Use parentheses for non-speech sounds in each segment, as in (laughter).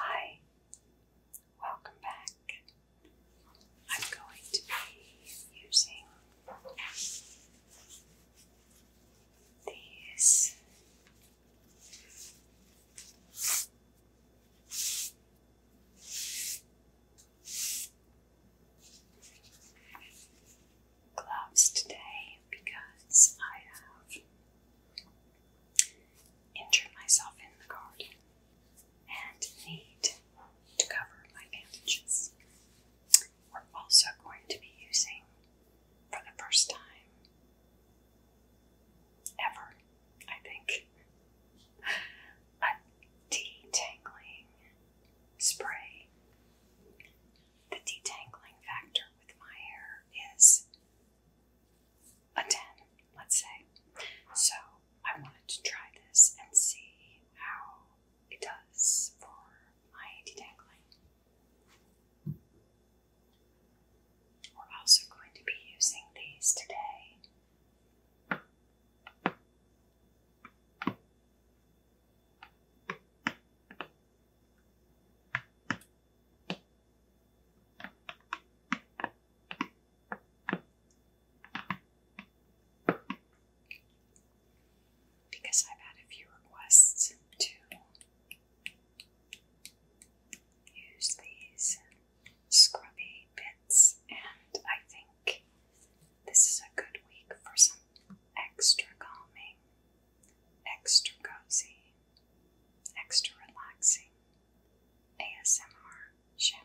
Hi, welcome back. I'm going to be using these gloves today because I have injured myself in the garden and need to cover my bandages. We're also going to be using, for the first time ever, I think, a detangling spray. The detangling factor with my hair is a 10, let's say. So I wanted to try this and see how it does for my detangling. We're also going to be using these today. Because I've had a few requests to use these scrubby bits, and I think this is a good week for some extra calming, extra cozy, extra relaxing ASMR shampooing.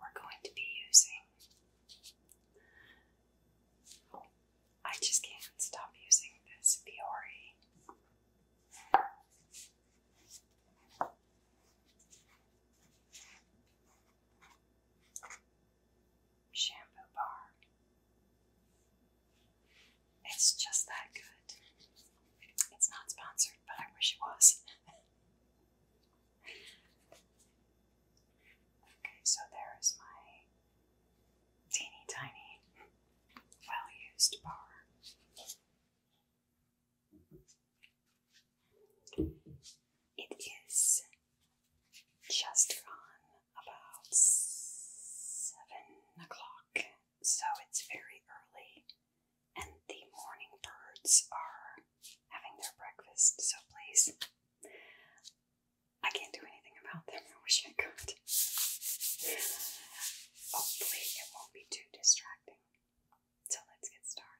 We're going to be using. Oh, I just can't stop using this Biore shampoo bar. It's just that good. It's not sponsored, but I wish it was. okay, so there is my teeny tiny, well used bar. It is just gone about seven o'clock, so it's very early, and the morning birds are having their breakfast, so please. I can't do anything about them. I wish I could. Hopefully, it won't be too distracting. So, let's get started.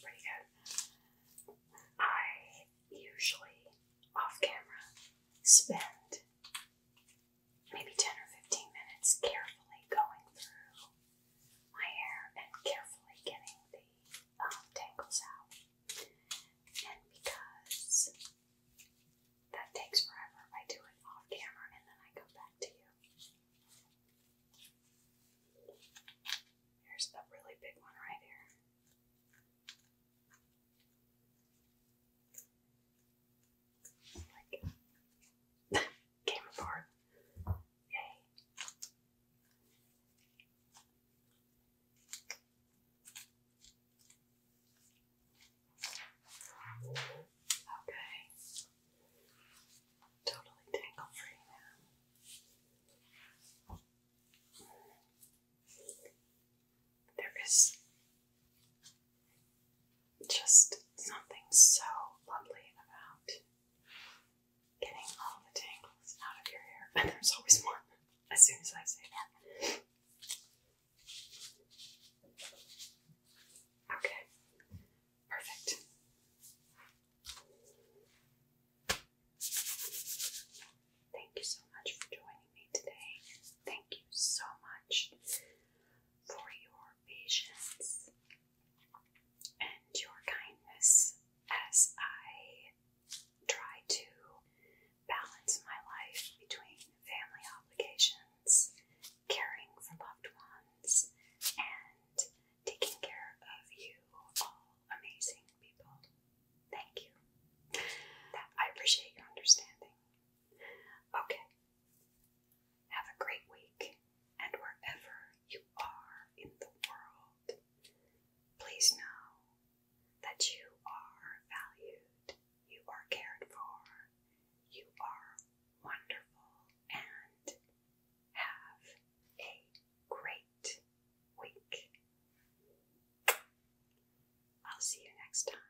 Pretty good. I usually off camera spend maybe 10 or 15 minutes carefully going through my hair and carefully getting the um, tangles out. And because that takes forever. I do it off camera and then I go back to you. Here's the really big one right here. (laughs) came apart. Yay. Okay. Totally tangle free now. There is just something so lovely about getting all the tangles out of your hair. (laughs) And there's always more as soon as I say that. Okay, perfect. Thank you so much for joining me today. Thank you so much for your patience and your kindness as I try to balance my life between family obligations, caring for loved ones, and taking care of you, all amazing people. Thank you. I appreciate your understanding. Okay. Have a great week, and wherever you are in the world, please know that you are valued you are cared for, you are wonderful, and have a great week. I'll see you next time.